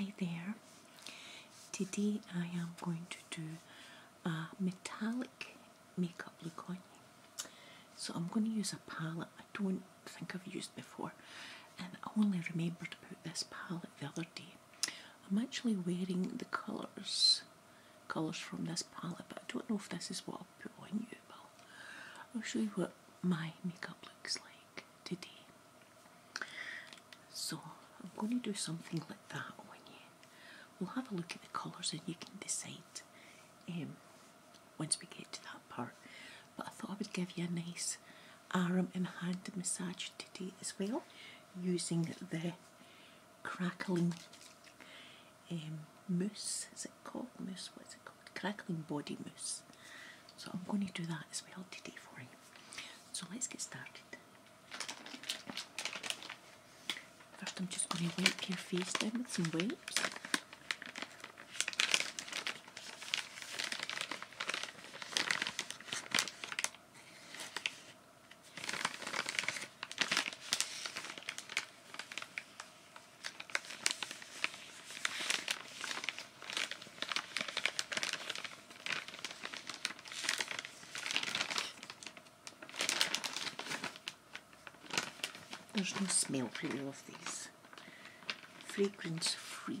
Hi there. Today I am going to do a metallic makeup look on you. So I'm going to use a palette I don't think I've used before and I only remembered about this palette the other day I'm actually wearing the colours, colours from this palette, but I don't know if this is what I'll put on you. I'll show you what my makeup looks like today. So I'm going to do something like that on you. We'll have a look at the colours and you can decide um, once we get to that part. But I thought I would give you a nice arm and hand massage today as well using the crackling um, mousse, is it called mousse? What's it called? Crackling body mousse. So I'm going to do that as well today for you. So let's get started. First I'm just going to wipe your face down with some wipes. There's no smell really of these. Fragrance free.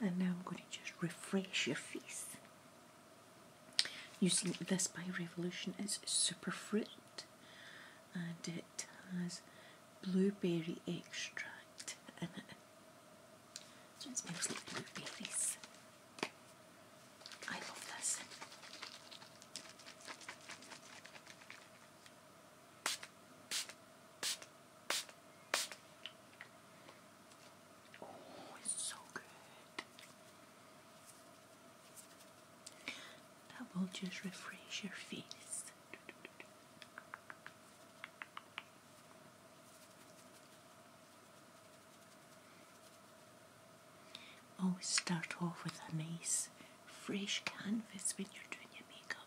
And now I'm going to just refresh your face using this by Revolution. It's superfruit and it has blueberry extract in it. So it smells like blueberries. I love this. Oh, it's so good. That will just refresh your face. Always start off with a nice fresh canvas when you're doing your makeup.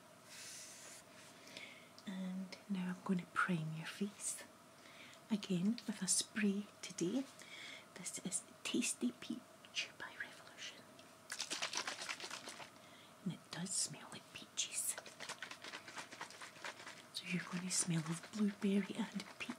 And now I'm going to prime your face. Again with a spray today. This is Tasty Peach by Revolution. And it does smell like peaches. So you're going to smell of blueberry and peach.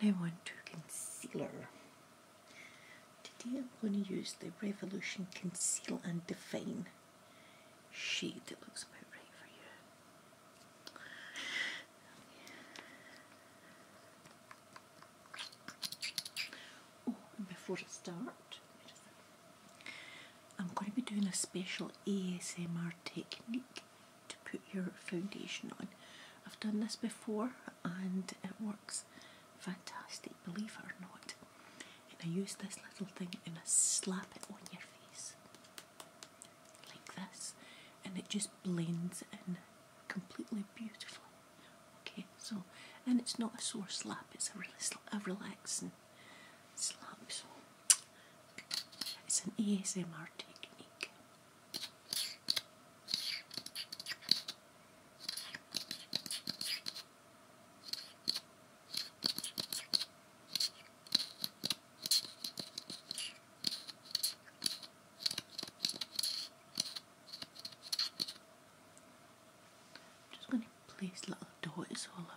Now onto concealer. Today I'm going to use the Revolution Conceal and Define shade that looks about right for you. Oh, and before I start, I'm going to be doing a special ASMR technique to put your foundation on. I've done this before and it works fantastic, believe it or not. And I use this little thing and I slap it on your face like this and it just blends in completely beautifully. Okay, so and it's not a sore slap, it's a really a relaxing slap. So it's an ASMR technique just going to place little dot it's all about.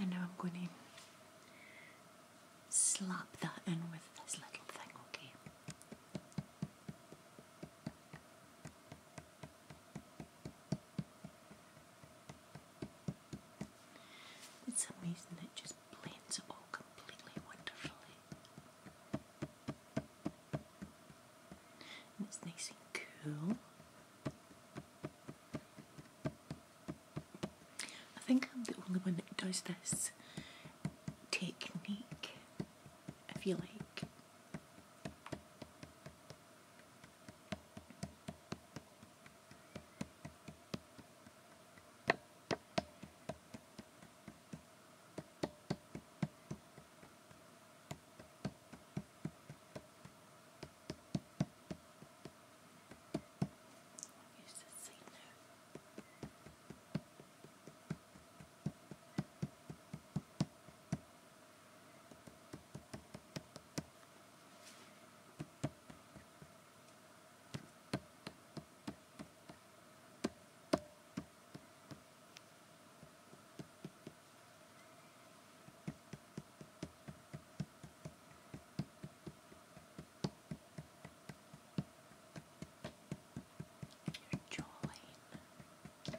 And now I'm going to slap that in with this little thing, okay? It's amazing it just blends it all completely wonderfully. it's nice and cool. I think I'm the only one that does this technique, if you like. Use the sealer. There your jawline. Your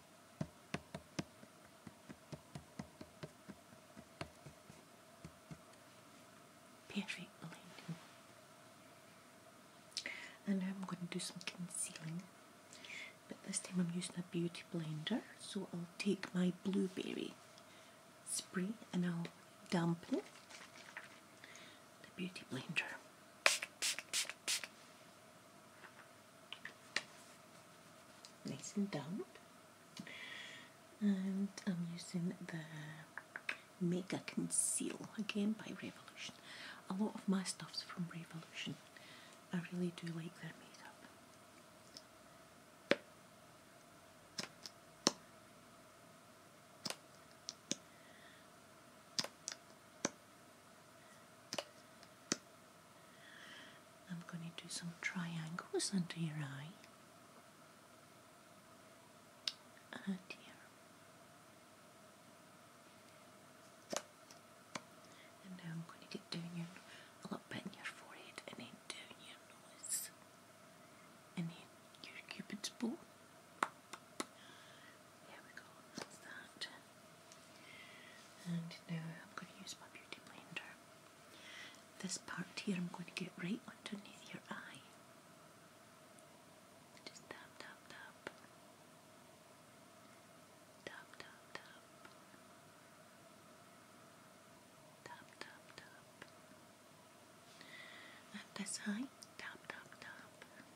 Perfect And I'm going to do some concealing. But this time I'm using a beauty blender, so I'll take my blueberry spray and I'll dampen the beauty blender nice and damp, And I'm using the Mega Conceal again by Revolution. A lot of my stuff's from Revolution. I really do like their makeup. I'm going to do some triangles under your eye and here. And now I'm going to get down your, a little bit in your forehead and then down your nose and then your cupid's bow. There we go, that's that. And now I'm going to use my beauty blender. This part here I'm going to get right underneath your eye. Just tap, tap, tap. Tap, tap, tap. Tap, tap, tap. And this tap, tap, tap.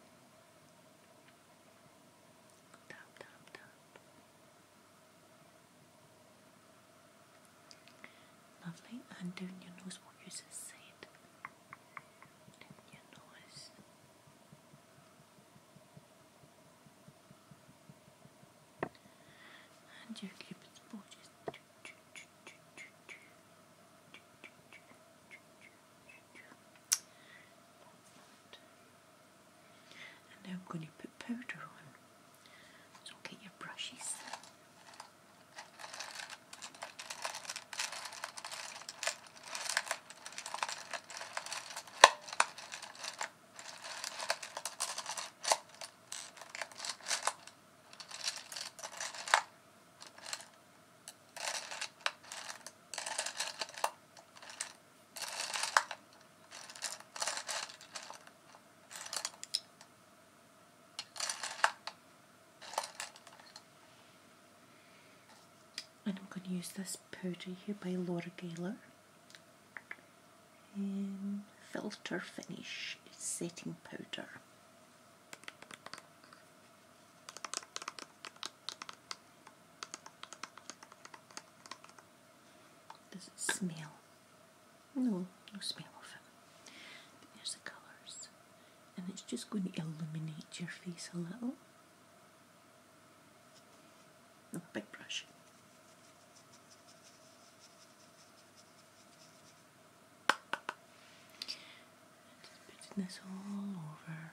Lovely. And your nose, what you just your nose. And your cupid's and now I'm going to put powder on. So get your brushes. And I'm going to use this powder here by Laura Geller. Um, filter finish setting powder. Does it smell? No, no smell of it. But there's the colours. And it's just going to illuminate your face a little. No, big brush. Just this all over.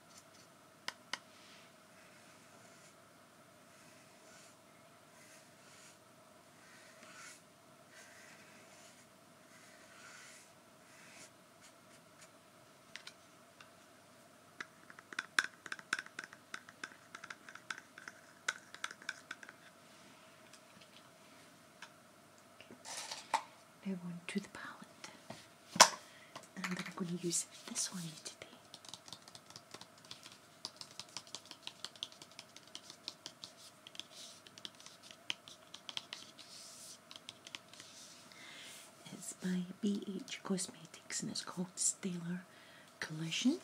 Now on to the palette. And I'm going to use this one today. It's by BH Cosmetics and it's called Stellar Collision.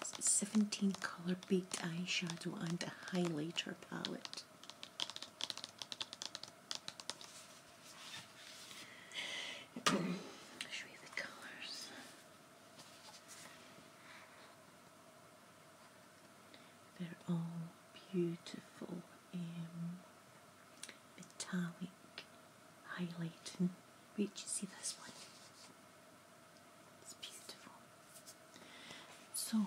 It's a 17 color baked eyeshadow and a highlighter palette. Show you the colors. They're all beautiful, in metallic, highlighting. Wait, you see this one? It's beautiful. So,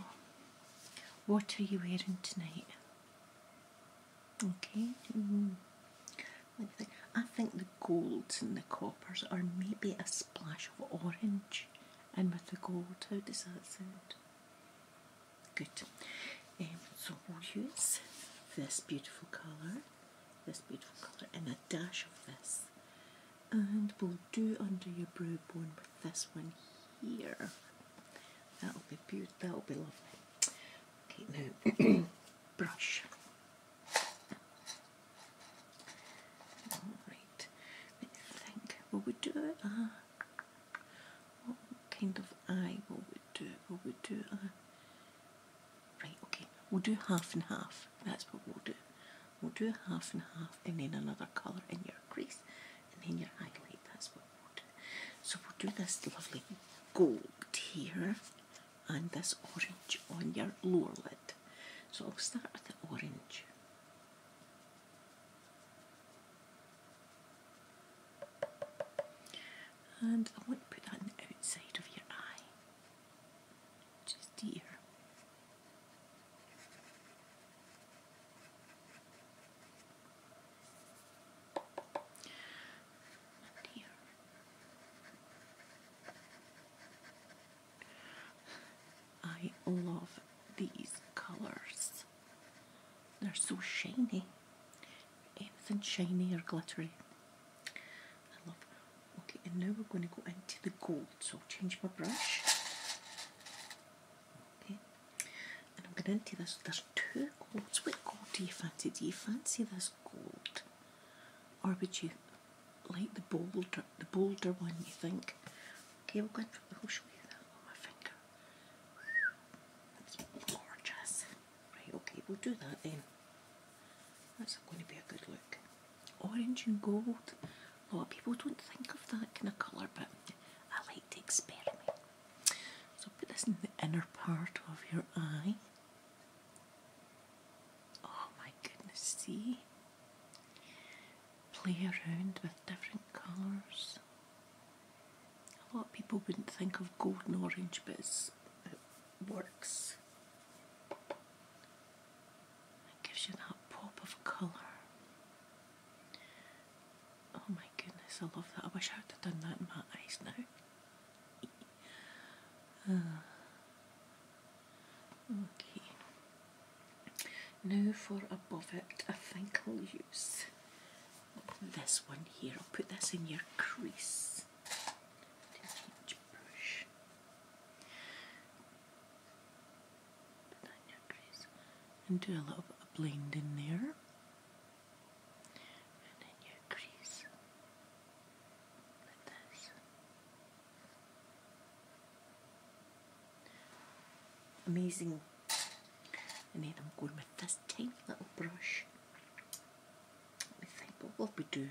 what are you wearing tonight? Okay. Hmm. I think the golds and the coppers are maybe a splash of orange and with the gold. How does that sound? Good. Um, so we'll use this beautiful colour, this beautiful colour and a dash of this and we'll do under your brow bone with this one here. That'll be beautiful. That'll be lovely. Okay, now brush. Alright, let me think. Will we do what kind of eye will we do? Will we do right, okay, we'll do half and half. That's what we'll do. We'll do half and half and then another colour in your crease and then your eyelid. That's what So we'll do this lovely gold here and this orange on your lower lid. So I'll start with the orange. And I want to put that on the outside of your eye, just here. I love these colors. They're so shiny. Anything shiny or glittery. I love Okay, and now we're going to go into the gold. So change my brush. Okay, and I'm going to do this. There's two golds. What gold do you fancy? Do you fancy this gold, or would you like the bolder, the bolder one? You think? Okay, we're going for the whole show you that on my finger. That's gorgeous. Right, okay, we'll do that then. That's going to be a good look. Orange and gold. A lot of people don't think of that kind of colour, but I like to experiment. So put this in the inner part of your eye. Oh my goodness, see? Play around with different colours. A lot of people wouldn't think of golden orange, but it works. It gives you that pop of colour. Oh my goodness, I love that. I wish I would have done that in my eyes now. Uh. okay. Now for above it, I think I'll use this one here. I'll put this in your crease and do a little bit of blending there. Amazing. And then I'm going with this tiny little brush. Let me think, what will we do?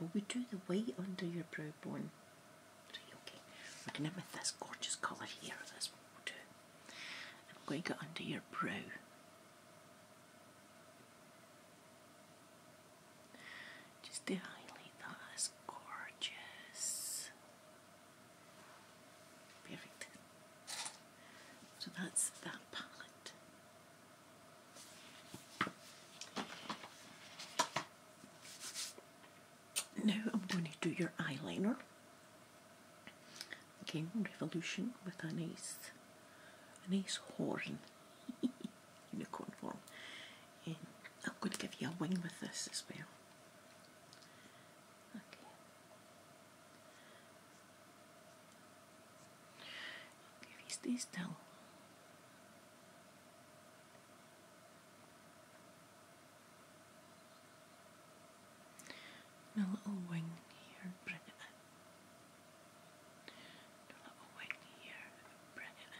Will we do the white under your brow bone? okay. We're going with this gorgeous colour here, that's what we I'm going to get under your brow. Just to highlight that, it's gorgeous. Perfect. So that's that palette. Now I'm going to do your eyeliner. Again, Revolution with a nice, a nice horn unicorn form. And I'm going to give you a wing with this as well. Okay. If you stay and a little wing here, bring it in. And a little wing here, bring it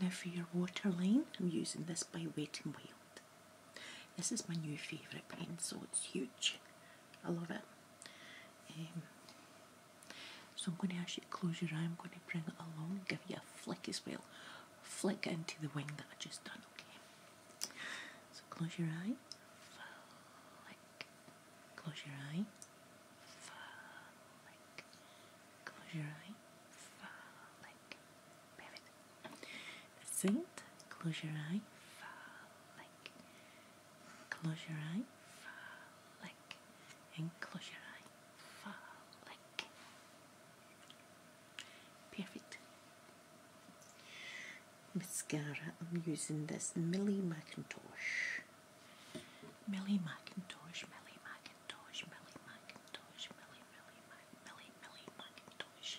in. Now for your waterline, I'm using this by Wet n Wild. This is my new favourite so it's huge I love it. Um, so I'm going to ask you to close your eye. I'm going to bring it along, give you a flick as well. Flick into the wing that I just done, okay? So close your eye. Flick. Close your eye. Flick. Close your eye. Flick. Perfect. That's it. Close your eye. Flick. Close your eye, and close your eye, Perfect. Mascara, I'm using this Millie Macintosh. Millie Macintosh, Millie Macintosh, Millie Macintosh, Millie, Millie, Millie, Millie Macintosh.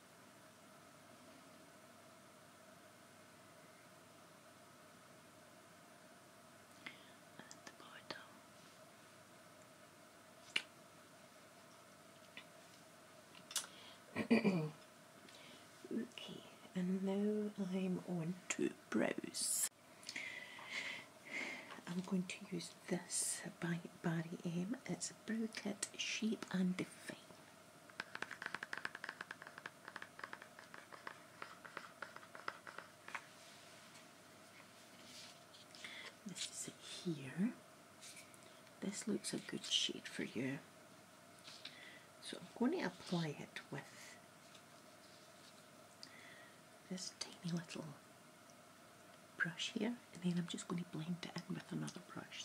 okay, and now I'm on to browse. I'm going to use this by Barry M. It's a brow kit shape and define. This is it here. This looks a good shade for you. So I'm going to apply it with this tiny little brush here and then I'm just going to blend it in with another brush.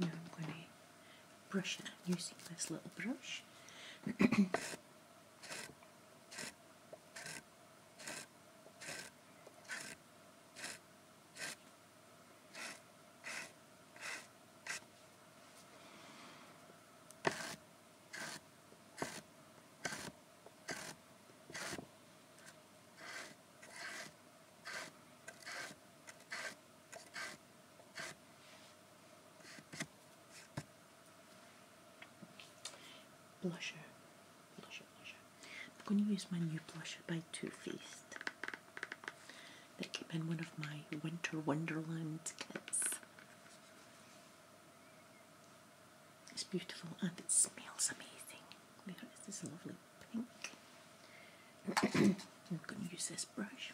now I'm going to brush it using this little brush. Blusher, blusher, blusher. I'm going to use my new blusher by Too Faced. That came in one of my Winter Wonderland kits. It's beautiful and it smells amazing. Look at this lovely pink. I'm going to use this brush.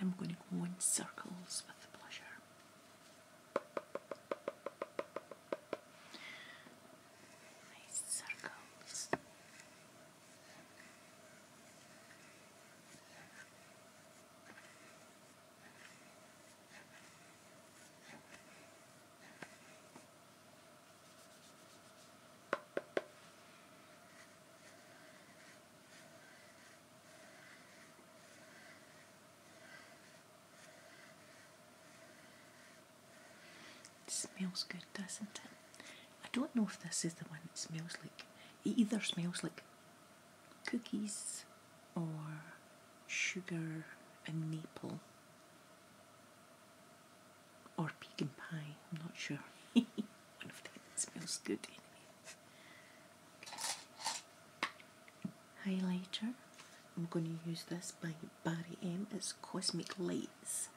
I'm going to go in circles with the blusher. Nice circles. It smells good, doesn't it? I don't know if this is the one that smells like. either smells like cookies or sugar and maple or pecan pie, I'm not sure. One of them smells good anyway. Highlighter. I'm going to use this by Barry M. It's Cosmic Lights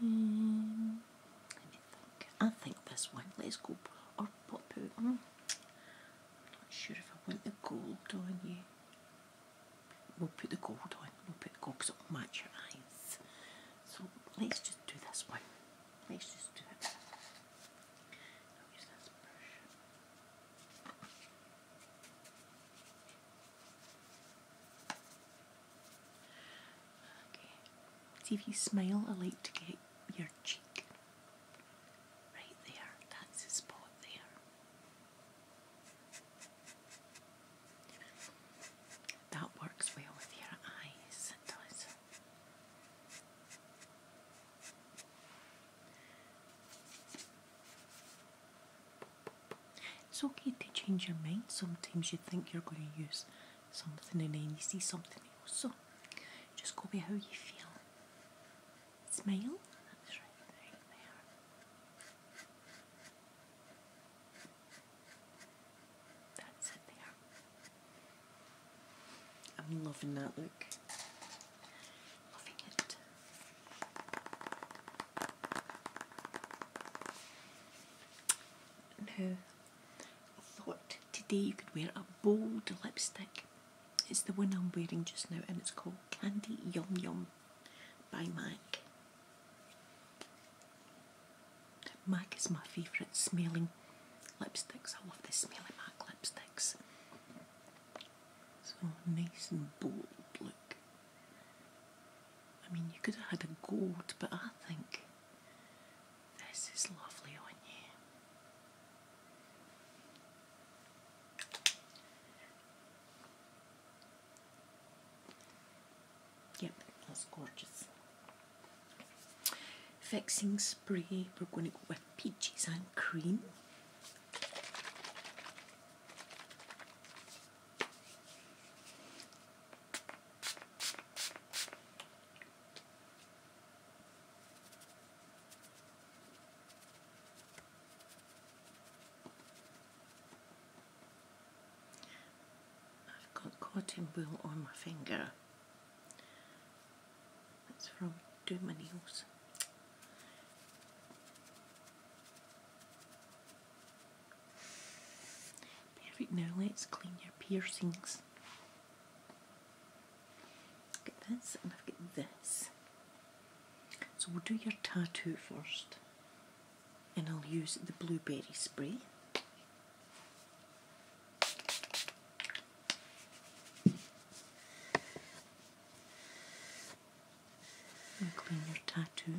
let me think. I think this one. Let's go or pop out. I'm not sure if I want the gold on you. We'll put the gold on. We'll put the gold because it'll match your eyes. So let's just do this one. Let's just do it. use this brush. See if you smile, I like to get your cheek right there. That's the spot there. That works well with your eyes, it does. It's okay to change your mind. Sometimes you think you're going to use something and then you see something else. So just go by how you feel. Smile. That's right there. That's it there. I'm loving that look. Loving it. Now, I thought today you could wear a bold lipstick. It's the one I'm wearing just now and it's called Candy Yum Yum by MAC. MAC is my favourite smelling lipsticks. I love the smelly MAC lipsticks. So nice and bold look. I mean, you could have had a gold, but I think this is lovely on you. Yep, that's gorgeous. Fixings spray organic wet peaches and cream. I've got cotton wool on my finger. That's from Doing My Nails. Perfect, now let's clean your piercings. i this and I've got this. So we'll do your tattoo first and I'll use the blueberry spray clean your tattoo.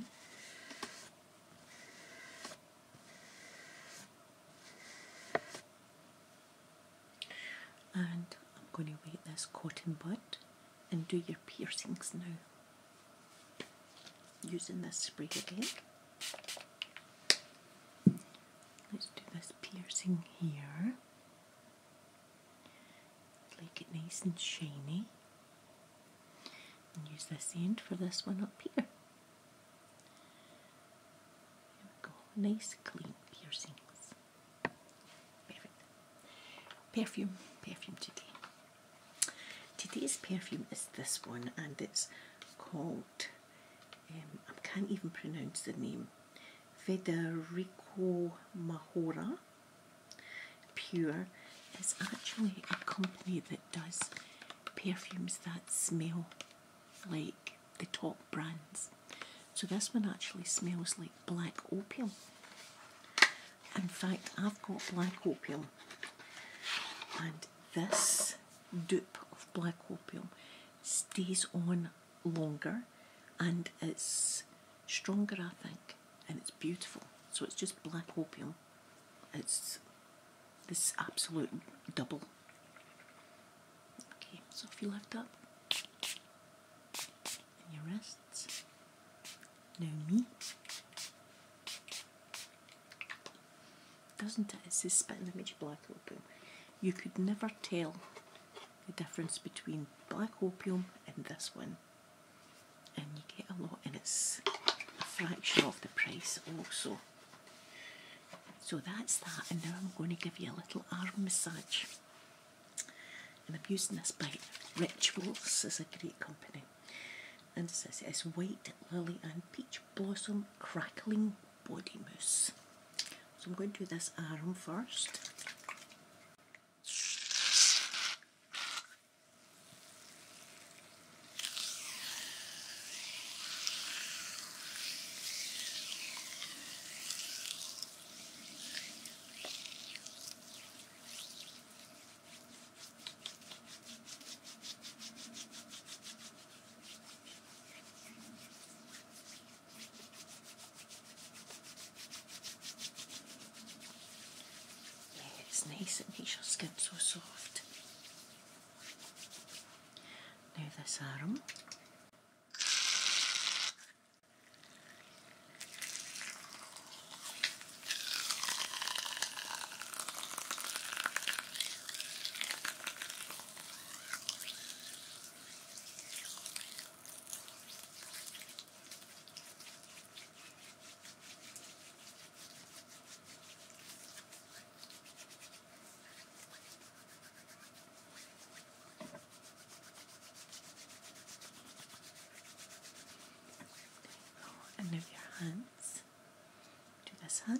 And I'm going to wet this cotton bud and do your piercings now using this spray again. Let's do this piercing here. Make it nice and shiny. And use this end for this one up here. There we go. Nice clean piercings. Perfume, perfume today. Today's perfume is this one and it's called um, I can't even pronounce the name, Federico Mahora Pure is actually a company that does perfumes that smell like the top brands. So this one actually smells like black opium. In fact, I've got black opium and this dupe of black opium stays on longer and it's stronger, I think, and it's beautiful. So it's just black opium. It's this absolute double. Okay, so if you lift up in your wrists, now me doesn't it? It says spitting image black opium. You could never tell the difference between black opium and this one. And you get a lot and it's a fraction of the price also. So that's that and now I'm going to give you a little arm massage. And I'm using this by Rituals is a great company. And it says it's white lily and peach blossom crackling body mousse. So I'm going to do this arm first it's nice, it makes your skin so soft. Now, this arm. And of your hands to this hand.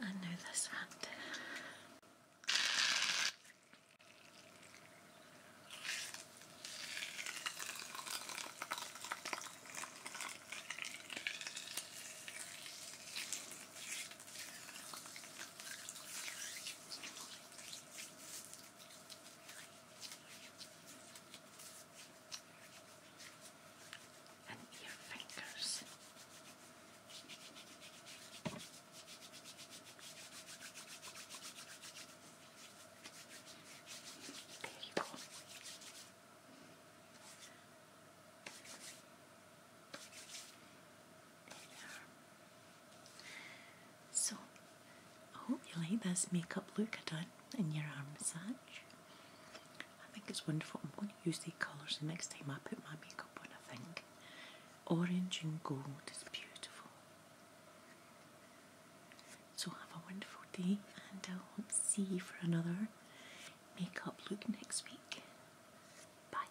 I know this one and your fingers. There you go. There they are. So, I hope you like this makeup look I done in your arm massage. I think it's wonderful. I'm going to use these colours the next time I put my makeup on, I think. Orange and gold is beautiful. So have a wonderful day and I'll see you for another makeup look next week. Bye.